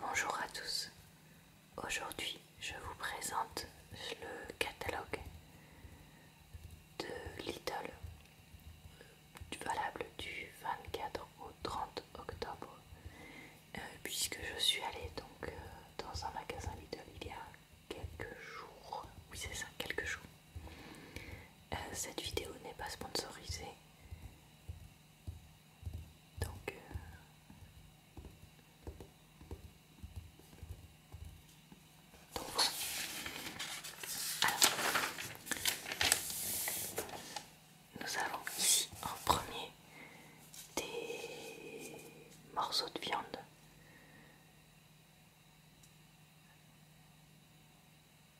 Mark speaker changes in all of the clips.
Speaker 1: Bonjour à tous. Aujourd'hui, je vous présente le catalogue de Lidl valable du 24 au 30 octobre euh, puisque je suis allée donc euh, dans un magasin Lidl il y a quelques jours. Oui, c'est ça, quelques jours. Euh, cette vidéo n'est pas sponsorisée. Donc, euh, nous avons ici en premier des morceaux de viande.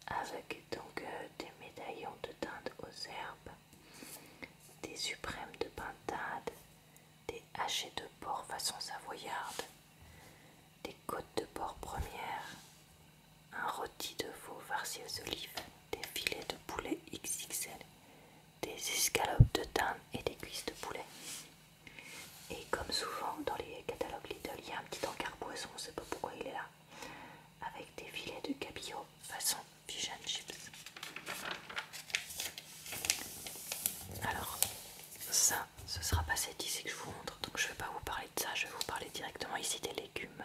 Speaker 1: Avec donc euh, des médaillons de teinte aux herbes des suprêmes de pintade, des hachets de porc façon savoyarde, des côtes de porc première, un rôti de veau farci aux olives, des filets de poulet XXL, des escalopes de dinde et des cuisses de poulet. Et comme souvent dans les catalogues Lidl, il y a un petit encart poisson, on ne sait pas pourquoi il est là avec des filets de cabillaud façon pigeon chips. Alors ça, ce sera pas cette ici que je vous montre, donc je vais pas vous parler de ça, je vais vous parler directement ici des légumes.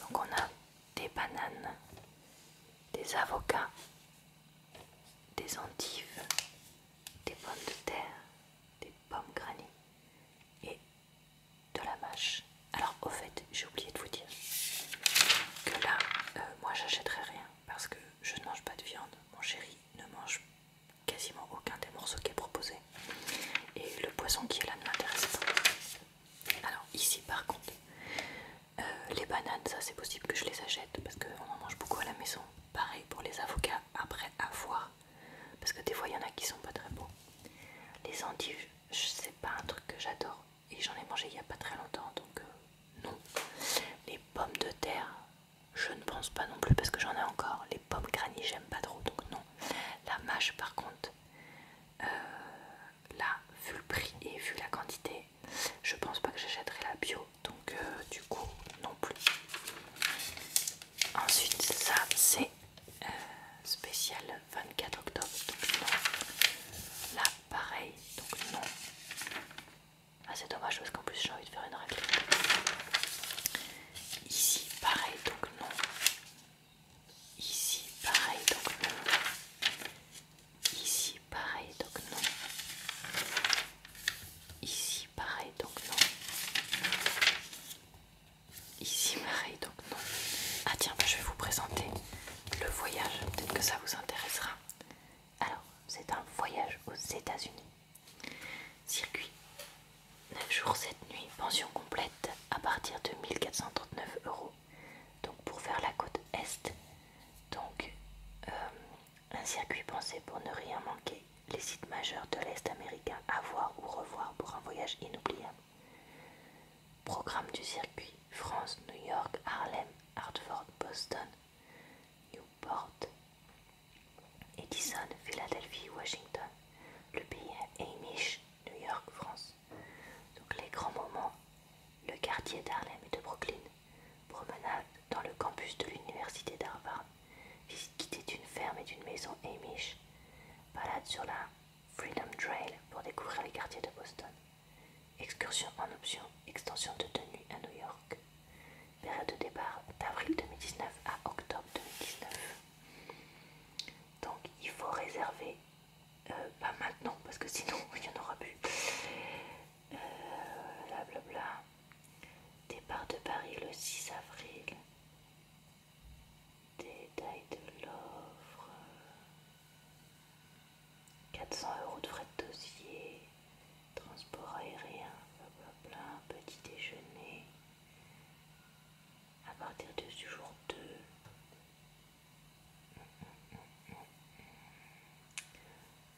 Speaker 1: Donc on a des bananes, des avocats, des endives, des pommes de terre, des pommes granny et de la mâche. Alors au fait, j'ai oublié de vous dire que là, euh, moi j'achèterai rien parce que je ne mange pas de viande. Mon chéri ne mange quasiment aucun des morceaux qui est proposé. Et le poisson qui est là ne m'intéresse pas. Alors ici par contre, euh, les bananes, ça c'est possible que je les achète parce qu'on en mange beaucoup à la maison. Pareil pour les avocats, après avoir Parce que des fois il y en a qui sont pas très beaux. Les endives, c'est pas un truc que j'adore et j'en ai mangé il n'y a pas très longtemps donc euh, non. Les pommes de terre, je ne pense pas non plus parce que j'en ai encore. Les pommes granny, j'aime pas trop donc non. La mâche, par contre, euh, là, vu le prix et vu la quantité, je pense pas que j'achèterai la bio donc euh, du coup, non plus. Ensuite, ça c'est euh, spécial 24 octobre. Donc non. Là, pareil. Donc non. Ah, c'est dommage parce qu'en plus j'ai envie de faire une réplique Ici, pareil. Donc non. Ici, pareil. Donc non. Ici, pareil. Donc non. Ici, pareil. Donc non. Ici, pareil, donc non. Ah tiens, bah, je vais vous présenter le voyage, peut-être que ça vous intéressera. Alors, c'est un voyage aux États-Unis. Circuit 9 jours, 7 nuits, pension complète à partir de 1439 euros. Donc, pour faire la côte Est, donc euh, un circuit pensé pour ne rien manquer. Les sites majeurs de l'Est américain à voir ou revoir pour un voyage inoubliable. Programme du circuit France, New York, Harlem, Hartford, Boston, Newport, Edison, Philadelphie, Washington, le pays Amish, New York, France. Donc les grands moments, le quartier d'Harlem et de Brooklyn, promenade dans le campus de l'université d'Harvard, visite d'une ferme et d'une maison Amish, balade sur la Freedom Trail pour découvrir les quartiers de Boston. Excursion en option, extension de tenue à New York. Période de départ d'avril 2019 à octobre 2019. Donc il faut réserver, euh, pas maintenant parce que sinon il n'y en aura plus. Euh, départ de Paris le 6 avril détail de l'offre, 400 euros de frais de dossier, transport aérien, petit déjeuner, à partir du jour 2.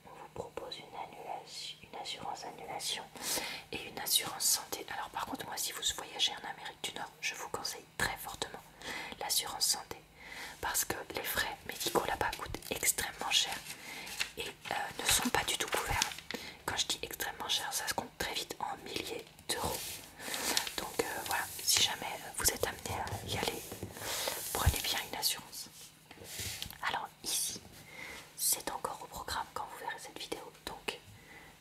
Speaker 1: On vous propose une, annulation, une assurance annulation et une assurance santé. Alors par contre moi si vous voyagez en Amérique du Nord, je vous conseille très fortement l'assurance santé parce que les frais médicaux là-bas coûtent extrêmement cher et euh, ne sont pas du tout couverts. Quand je dis extrêmement cher, ça se compte très vite en milliers d'euros. Donc euh, voilà, si jamais vous êtes amené à y aller, prenez bien une assurance. Alors ici, c'est encore au programme quand vous verrez cette vidéo. Donc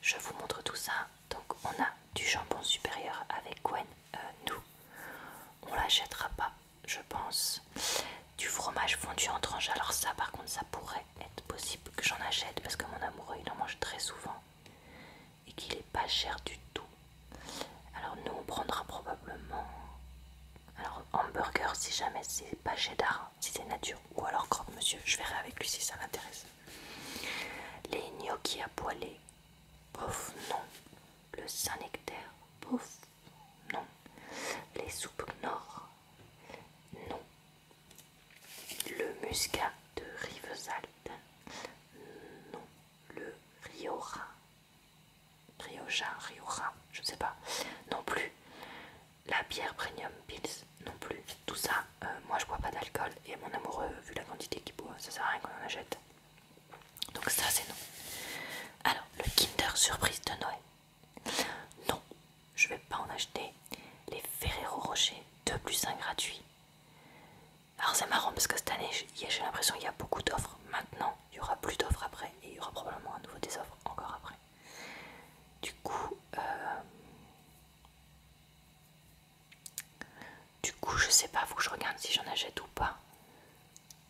Speaker 1: je vous montre tout ça. Donc on a du jambon supérieur avec Gwen, euh, nous. On l'achètera pas, je pense. Du fromage fondu en tranche. Alors ça par contre ça pourrait être possible que j'en achète parce que mon amoureux il en mange très souvent. Et qu'il est pas cher du tout. Alors nous on prendra probablement... Alors hamburger si jamais c'est pas cheddar, hein, si c'est nature ou alors croque monsieur, je verrai avec lui si ça m'intéresse. Les gnocchis à poêler, bof, non. Le Saint-Nectaire, bof, non. Les soupes Nord, non. Le muscat de Rivesaltes, non. Le Rioja, Rioja, Rioja, je sais pas, non plus la bière Premium Pils non plus. Tout ça, euh, moi je bois pas d'alcool et mon amoureux, vu la quantité qu'il boit, ça sert à rien qu'on en achète. Donc ça c'est non. Alors, le Kinder Surprise de Noël. Non, je vais pas en acheter. Les Ferrero Rocher 2 plus 1 gratuit Alors c'est marrant parce que cette année, j'ai l'impression qu'il y a beaucoup d'offres. Maintenant, il y aura plus d'offres après et il y aura probablement à nouveau des offres encore après. Du coup, euh, du coup, je sais pas, vous, je regarde si j'en achète ou pas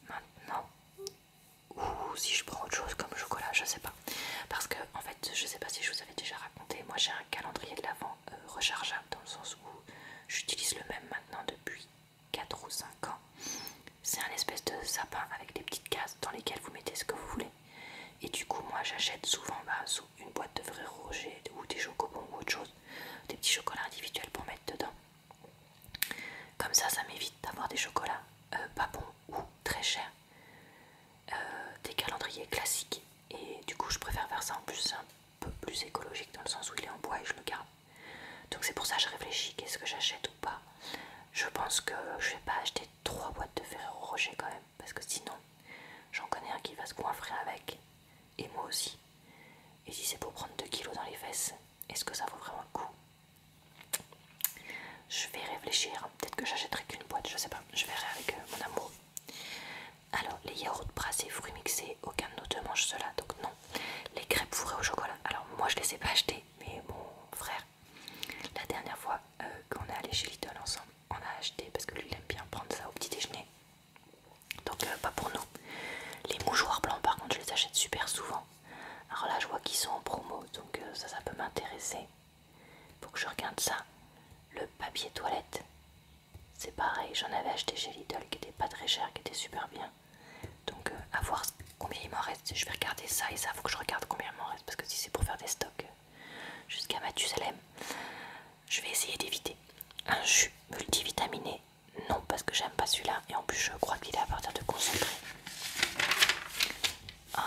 Speaker 1: maintenant, ou si je prends autre chose comme chocolat, je sais pas. Parce que en fait, je sais pas si je vous avais déjà raconté, moi j'ai un calendrier de l'avant euh, rechargeable dans le sens où j'utilise le même maintenant depuis 4 ou 5 ans. C'est un espèce de sapin avec des petites cases dans lesquelles vous mettez ce que vous voulez. Et du coup, moi j'achète souvent bah, une boîte de frais rouges ou des chocobons ou autre chose, des petits chocolats individuels pour mettre dedans. Comme ça, ça m'évite d'avoir des chocolats euh, pas bons ou très chers, euh, des calendriers classiques. Et du coup, je préfère faire ça en plus, un peu plus écologique dans le sens où il est en bois et je le garde. Donc c'est pour ça que je réfléchis, qu'est-ce que j'achète ou pas. Je pense que je vais pas acheter 3 trois boîtes de Ferrero Rocher quand même, parce que sinon, j'en connais un qui va se coinfrer avec, et moi aussi. Et si c'est pour prendre 2 kilos dans les fesses, est-ce que ça vaut vraiment le coup Je vais réfléchir, peut-être que j'achèterai qu'une boîte, je sais pas, je verrai avec euh, mon amour. Alors, les yaourts brassés, fruits mixés, aucun de nous mange cela, donc non. Les crêpes fourrées au chocolat, alors moi je les ai pas achetées, mais mon frère la dernière fois euh, qu'on est allé chez Lidl ensemble, on a acheté, parce que lui il aime bien prendre ça au petit déjeuner, donc euh, pas pour nous. Les mouchoirs blancs par contre je les achète super souvent. Alors là je vois qu'ils sont en promo, donc euh, ça ça peut m'intéresser. pour que je regarde ça. Le papier toilette, c'est pareil, j'en avais acheté chez Lidl qui était pas très cher, qui était super bien. Donc à voir Combien il m'en reste Je vais regarder ça et ça, faut que je regarde combien il m'en reste parce que si c'est pour faire des stocks euh, jusqu'à Mathusalem, je vais essayer d'éviter. Un jus multivitaminé, non parce que j'aime pas celui-là et en plus je crois qu'il est à partir de concentré.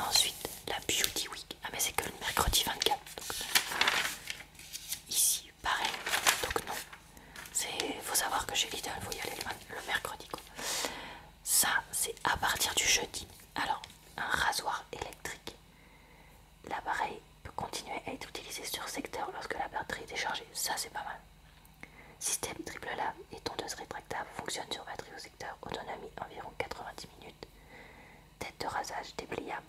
Speaker 1: Ensuite, la Beauty Week. Ah mais c'est que le mercredi 24. Euh, ici, pareil. Donc non. Faut savoir que j'ai Lidl, faut y aller le mercredi quoi ça c'est à partir du jeudi. Alors, un rasoir électrique. L'appareil peut continuer à être utilisé sur secteur lorsque la batterie est déchargée. Ça c'est pas mal. Système triple lame et tondeuse rétractable fonctionne sur batterie au secteur. Autonomie environ 90 minutes. Tête de rasage dépliable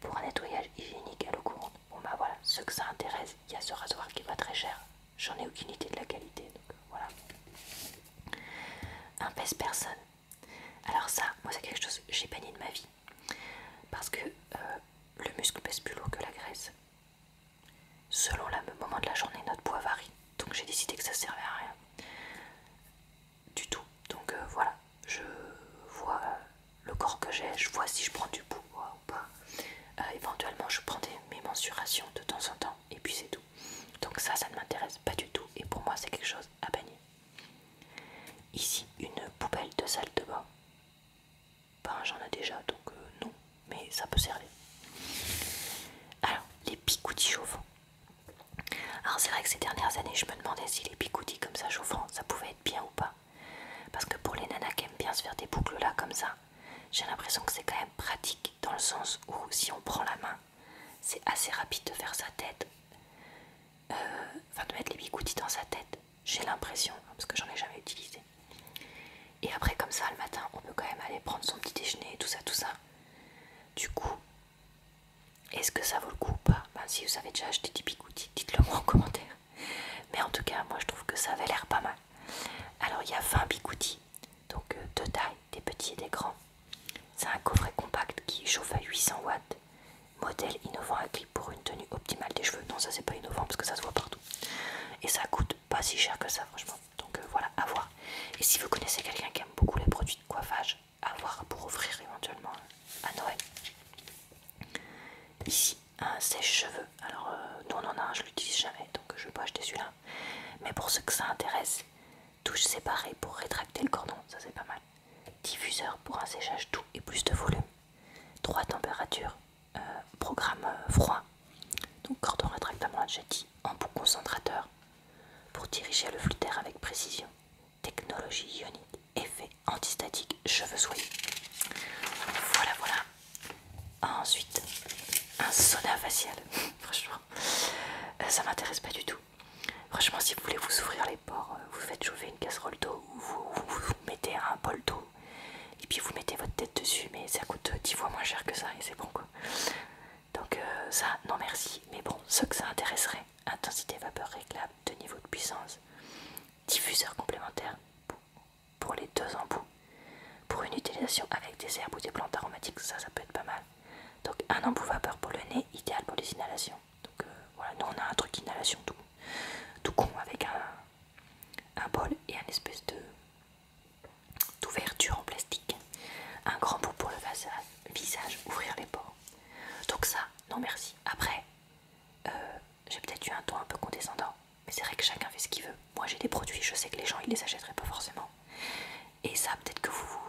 Speaker 1: pour un nettoyage hygiénique à l'eau courante. Bon bah voilà, ce que ça intéresse, il y a ce rasoir qui est pas très cher j'en ai aucune idée de la qualité. Donc euh, voilà. Un pèse-personne. Alors ça, moi c'est quelque chose que j'ai banni de ma vie. Parce que euh, le muscle pèse plus lourd que la graisse. Selon le moment de la journée, notre poids varie. Donc j'ai décidé que ça servait à rien. Du tout. Donc euh, voilà, je vois le corps que j'ai, je vois si je prends du poids ou pas. éventuellement, je prends mes mensurations de temps en temps et puis c'est tout. Donc ça, ça ne m'intéresse pas du tout et pour moi c'est quelque chose à bannir. Ici, une poubelle de salle de bain. Ben j'en ai déjà, donc euh, non, mais ça peut servir. Alors, les picoudis chauffants. Alors c'est vrai que ces dernières années, je me demandais si les picoudis comme ça chauffants, ça pouvait être bien ou pas. Parce que pour les nanas qui aiment bien se faire des boucles là comme ça, j'ai l'impression que c'est quand même pratique dans le sens où si on prend la main, c'est assez rapide de faire sa tête, euh, enfin de mettre les bigoutis dans sa tête, j'ai l'impression, parce que j'en ai jamais utilisé. Et après comme ça le matin, on peut quand même aller prendre son petit déjeuner, tout ça, tout ça. Du coup, est-ce que ça vaut le coup ou pas ben, Si vous avez déjà acheté des bigoutis, dites-le moi en commentaire. Mais en tout cas, moi je trouve que ça avait l'air pas mal. Alors il y a 20 bigoutis donc deux tailles, des petits et des grands. C'est un coffret compact qui chauffe à 800 watts. Modèle innovant à clip pour une tenue optimale des cheveux. Non, ça c'est pas innovant parce que ça se voit partout. Et ça coûte pas si cher que ça, franchement. Donc euh, voilà, à voir. Et si vous connaissez quelqu'un qui aime beaucoup les produits de coiffage, à voir pour offrir éventuellement à Noël. Ici, un sèche-cheveux. Alors, euh, on en a un, je l'utilise jamais donc je vais pas acheter celui-là. Mais pour ceux que ça intéresse, touche séparée pour rétracter le cordon, ça c'est pas mal. Diffuseur pour un séchage doux et plus de volume. Trois températures, euh, programme euh, froid. Donc cordon rétractable j'ai jetty, embout concentrateur pour diriger le flux d'air avec précision. Technologie ionique, effet antistatique, cheveux soyeux. Voilà, voilà. Ah, ensuite, un sauna facial. Franchement, euh, ça m'intéresse pas du tout. Franchement, si vous voulez vous ouvrir les pores, euh, vous faites chauffer une casserole d'eau ou vous, mettez un bol d'eau et puis vous mettez votre tête dessus. Mais ça coûte 10 fois moins cher que ça et c'est bon quoi. Donc, euh, ça, non merci. Mais bon, ce que ça intéresserait intensité vapeur réglable de niveau de puissance, diffuseur complémentaire pour les deux embouts. Pour une utilisation avec des herbes ou des plantes aromatiques, ça, ça peut être pas mal. Donc un embout vapeur pour le nez, idéal pour les inhalations. Donc euh, voilà, nous on a un truc inhalation tout, tout con avec un, un bol et un espèce de d'ouverture en plastique. Un grand bout pour le visage, ouvrir les pores. Donc ça, non merci. Après, euh, j'ai peut-être eu un ton un peu condescendant. Mais c'est vrai que chacun fait ce qu'il veut. Moi j'ai des produits, je sais que les gens ils les achèteraient pas forcément. Et ça, peut-être que vous,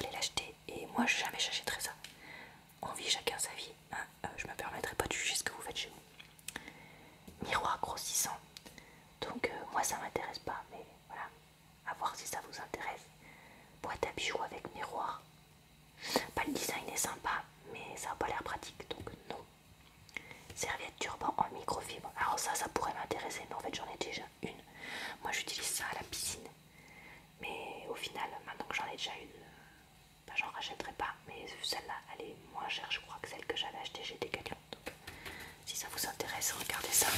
Speaker 1: allez l'acheter. Et moi jamais j'achèterai ça. On vit chacun sa vie. Hein euh, je me permettrai pas de juger ce que vous faites chez vous. Miroir grossissant. Donc euh, moi ça m'intéresse pas, mais voilà. À voir si ça vous intéresse. Boîte à bijoux avec miroir. Pas le design est sympa, mais ça n'a pas l'air pratique, donc non. Serviette turban en microfibre. Alors ça, ça pourrait m'intéresser, mais en fait j'en ai déjà une. Moi j'utilise ça à la piscine. Mais au final, maintenant que j'en ai déjà une, euh, bah, j'en rachèterai pas. Mais celle-là, elle est moins chère, je crois, que celle que j'avais achetée j'ai des Donc si ça vous intéresse, regardez ça.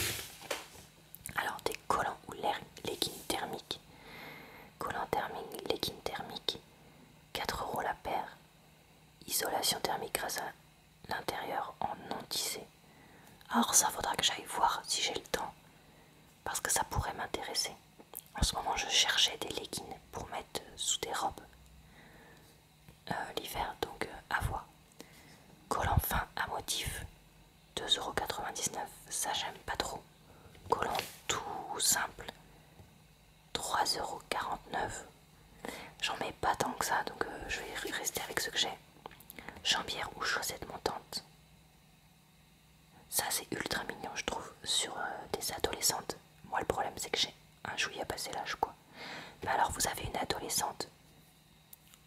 Speaker 1: Alors des collants ou leggings thermiques. Collants thermiques, leggings thermiques. quatre la paire. Isolation thermique grâce à l'intérieur en non tissé. alors ça faudra que j'aille voir si j'ai le temps. Parce que ça pourrait m'intéresser. En ce moment je cherchais des leggings pour mettre sous des robes. Euh, l'hiver donc euh, à voix. Collant fin à motif. 2,99€. Ça j'aime pas trop. Collant tout simple. 3,49€. J'en mets pas tant que ça, donc euh, je vais rester avec ce que j'ai. Jambière ou chaussettes montante Ça, c'est ultra mignon, je trouve, sur euh, des adolescentes. Moi, le problème, c'est que j'ai un jouet à passer l'âge, quoi. Mais alors, vous avez une adolescente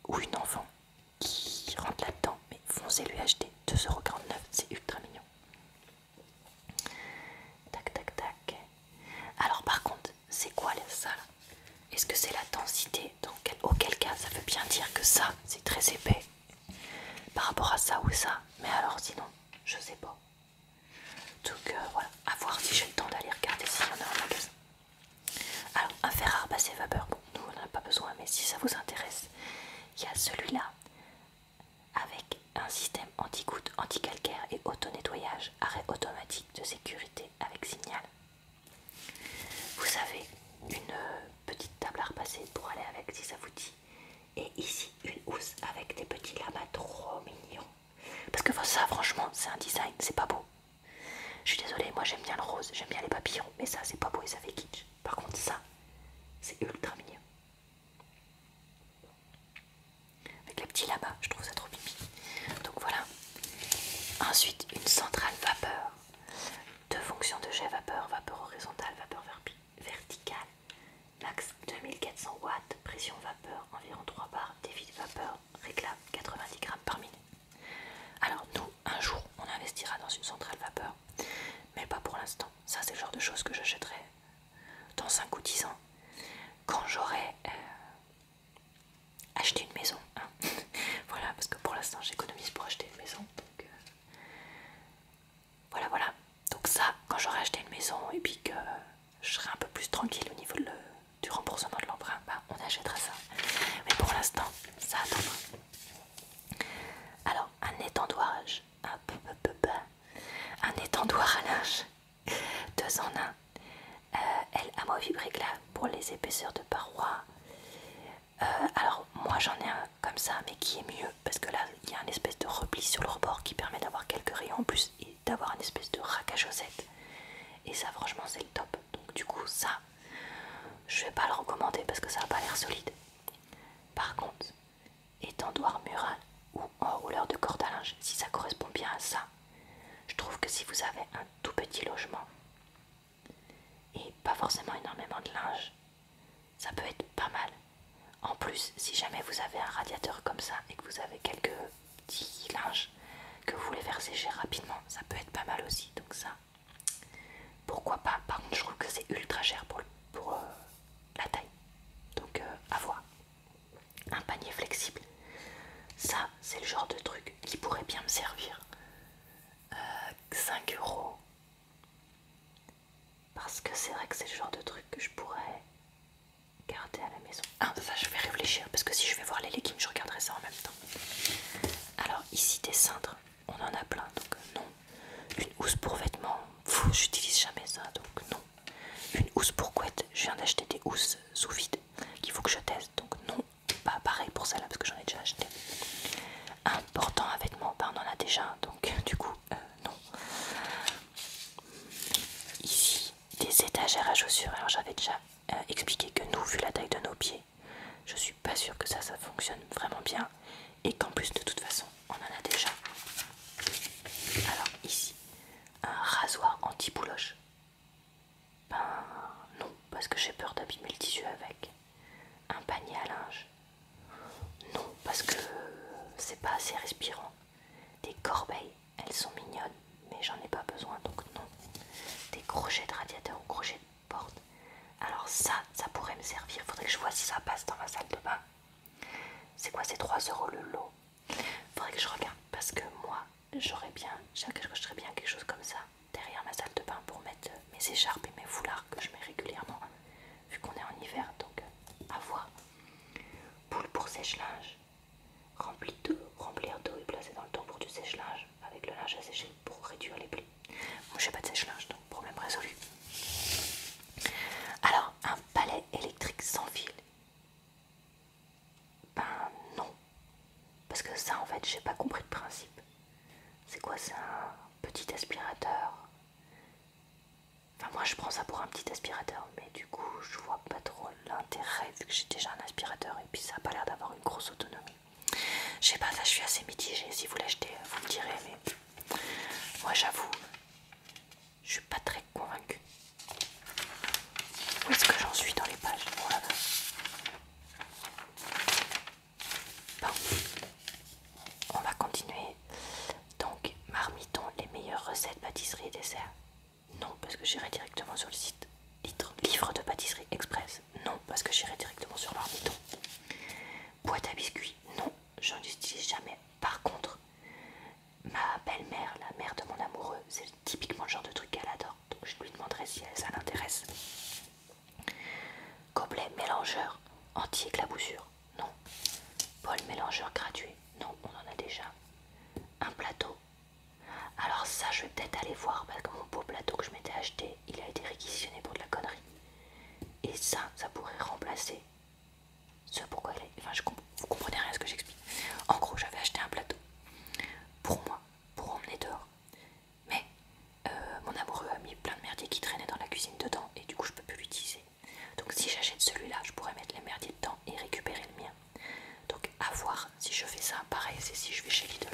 Speaker 1: ou une enfant qui rentre là-dedans, mais foncez lui acheter 2,49€, c'est ultra mignon. Tac, tac, tac. Alors par contre, c'est quoi ça là Est-ce que c'est la densité Auquel cas, ça veut bien dire que ça, c'est très épais. Par rapport à ça ou ça. Mais alors sinon, je sais pas. Donc euh, voilà, à voir si j'ai le temps d'aller regarder s'il y en a en magasin. Alors, un fer à repasser vapeur, bon, nous on n'en a pas besoin, mais si ça vous intéresse, il y a celui-là avec un système anti-goutte, anti-calcaire et auto-nettoyage, arrêt automatique de sécurité avec signal. Vous avez une euh, petite table à repasser pour aller avec si ça vous dit. Et ici une housse avec des petits lamas trop mignons. Parce que ça franchement c'est un design, c'est pas beau. Je suis désolée, moi j'aime bien le rose, j'aime bien les papillons, mais ça c'est pas beau et ça fait kitsch. Par contre ça, c'est ultra mignon. Avec les petits là-bas, je trouve ça trop pipi. Donc voilà. Ensuite, une centrale vapeur. Deux fonctions de jet vapeur, vapeur horizontale, vapeur verticale. Max 2400 watts, pression vapeur environ 3 bars, défi de vapeur réglable 90 grammes par minute. Alors nous, un jour, on investira dans une centrale vapeur, mais pas pour l'instant. Ça, c'est le genre de choses que j'achèterai dans 5 ou 10 ans, quand j'aurai euh, acheté une maison. Hein. voilà, parce que pour l'instant j'économise pour acheter une maison. Donc, euh, voilà, voilà. Donc ça, quand j'aurai acheté une maison et puis que je serai un peu plus tranquille au niveau du remboursement de l'emprunt, bah, on achètera ça. Mais pour l'instant, ça attendra. Alors, un un peu peu, peu peu, un étendoir à linge, deux en un, moins euh, elle que là pour les épaisseurs de parois. Euh, alors moi j'en ai un comme ça, mais qui est mieux parce que là il y a un espèce de repli sur le rebord qui permet d'avoir quelques rayons en plus et d'avoir une espèce de racage à Et ça franchement c'est le top. Donc du coup ça, je vais pas le recommander parce que ça n'a pas l'air solide. Par contre, étendoir mural ou en enrouleur de corde à linge, si ça correspond bien à ça. Je trouve que si vous avez un tout petit logement et pas forcément énormément de linge, ça peut être pas mal. En plus, si jamais vous avez un radiateur comme ça et que vous avez quelques petits linges que vous voulez faire sécher rapidement, ça peut être pas mal aussi. Donc ça, pourquoi pas Par contre, je trouve que c'est ultra cher pour, le, pour euh, la taille. Donc avoir euh, Un panier flexible. Ça, c'est le genre de truc qui pourrait bien me servir. 5 euh, euros. Parce que c'est vrai que c'est le genre de truc que je pourrais garder à la maison. Ah, ça je vais réfléchir parce que si je vais voir les leggings, je regarderai ça en même temps. Alors ici des cintres, on en a plein, donc euh, non, une housse pour vêtements, j'utilise jamais ça donc non. Une housse pour couette, je viens d'acheter des housses sous vide qu'il faut que je teste donc non. Pas pareil pour celle-là parce que j'en ai déjà acheté. Un portant à vêtements, ben, on en a déjà donc du coup euh, non. Ici, des étagères à chaussures. Alors j'avais déjà euh, expliqué que nous, vu la taille de nos pieds, je suis pas sûre que ça, ça fonctionne vraiment bien et qu'en plus de toute façon on en a déjà. Alors ici, un rasoir anti-bouloche. Ben non, parce que j'ai peur d'abîmer le tissu avec. Un panier à linge. Non, parce que c'est pas assez respirant. Des corbeilles, elles sont mignonnes, mais j'en ai pas besoin, donc non. Des crochets de radiateur ou crochets de porte. Alors ça, ça pourrait me servir. Faudrait que je vois si ça passe dans ma salle de bain. C'est quoi ces 3 euros le lot Faudrait que je regarde parce que moi j'aurais bien, bien quelque chose comme ça derrière ma salle de bain pour mettre mes écharpes et mes foulards que je mets régulièrement vu qu'on est en hiver donc à voir. Boule pour sèche-linge, remplir d'eau et placer dans le temps pour du sèche-linge avec le linge à sécher pour réduire les plis. Moi j'ai pas de sèche-linge donc problème résolu. Alors, un palais électrique sans fil Ben non. Parce que ça en fait j'ai pas compris le principe. C'est quoi c'est un petit aspirateur Enfin moi je prends ça pour un petit aspirateur mais du coup je vois pas trop l'intérêt vu que j'ai déjà un aspirateur et puis ça a pas l'air d'avoir une grosse autonomie. Je sais pas, je suis assez mitigée. Si vous l'achetez, vous me direz, mais moi j'avoue, je suis pas très convaincue. Où est-ce que j'en suis dans les pages Bon, on va continuer. Donc, marmiton, les meilleures recettes pâtisserie et dessert. Non, parce que j'irai directement sur le site Livre de pâtisserie express. Non, parce que j'irai directement sur marmiton. Boîte à biscuits, non, j'en utilise jamais. Par contre, ma belle-mère, la mère de mon amoureux, c'est typiquement le genre de truc qu'elle adore, donc je lui demanderai si ça l'intéresse. Gobelet mélangeur, anti-éclaboussure, non. Bol mélangeur gratuit, non, on en a déjà. Un plateau. Alors ça, je vais peut-être aller voir parce que mon beau plateau que je m'étais acheté, il a été réquisitionné pour de la connerie. Et ça, ça pourrait remplacer ce pourquoi il est. Enfin, je vous comprenez rien à ce que j'explique. En gros, j'avais acheté un plateau pour moi, pour emmener dehors. Mais euh, mon amoureux a mis plein de merdier qui traînait dans la cuisine dedans et du coup, je peux plus l'utiliser. Donc, si j'achète celui-là, je pourrais mettre les merdiers dedans et récupérer le mien. Donc, à voir si je fais ça. Pareil, c'est si je vais chez Lidl.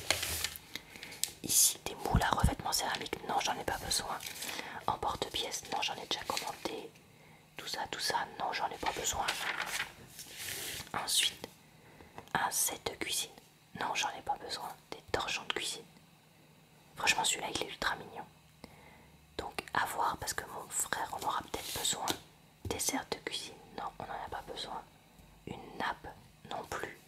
Speaker 1: Ici, des moules à revêtement céramique. Non, j'en ai pas besoin. En porte-pièces, non, j'en ai déjà commandé. Tout ça, tout ça, non, j'en ai pas besoin. Ensuite, un set de cuisine. Non, j'en ai pas besoin. Des torchons de cuisine. Franchement, celui-là, il est ultra mignon. Donc, à voir, parce que mon frère en aura peut-être besoin. Dessert de cuisine, non, on en a pas besoin. Une nappe, non plus.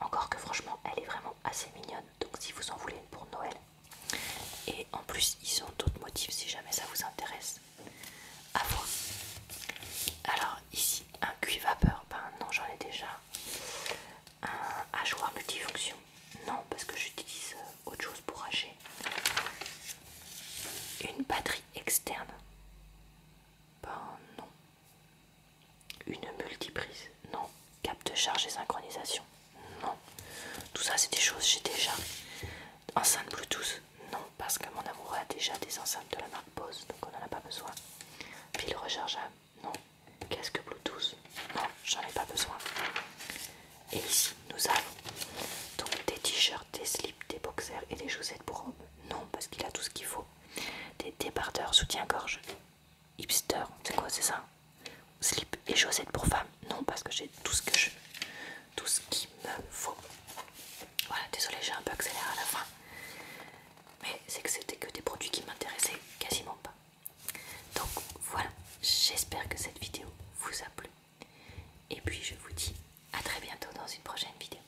Speaker 1: Encore que franchement, elle est vraiment assez mignonne. Donc si vous en voulez une pour Noël. Et en plus, ils ont d'autres motifs si jamais ça vous intéresse. À voir. Alors ici, un cuit vapeur. Ben non, j'en ai déjà. Un hachoir multifonction. Non, parce que j'utilise euh, autre chose pour hacher. Une batterie externe. Ben non. Une multiprise Non. Cap de charge et synchronisation Non. Tout ça, c'est des choses j'ai déjà. Enceinte Bluetooth Non, parce que mon amoureux a déjà des enceintes de la marque Bose, donc on n'en a pas besoin. Pile rechargeable Non. Qu'est-ce que Bluetooth Non, j'en ai pas besoin. Et ici, nous avons donc des t-shirts, des slips, des boxers et des chaussettes pour robe Non, parce qu'il a tout ce qu'il faut des débardeurs soutien-gorge, hipster, c'est quoi, c'est ça Slip et chaussettes pour femmes, non, parce que j'ai tout ce que je tout ce qu'il me faut. Voilà, désolé, j'ai un peu accéléré à la fin, mais c'est que c'était que des produits qui m'intéressaient quasiment pas. Donc voilà, j'espère que cette vidéo vous a plu. Et puis je vous dis à très bientôt dans une prochaine vidéo.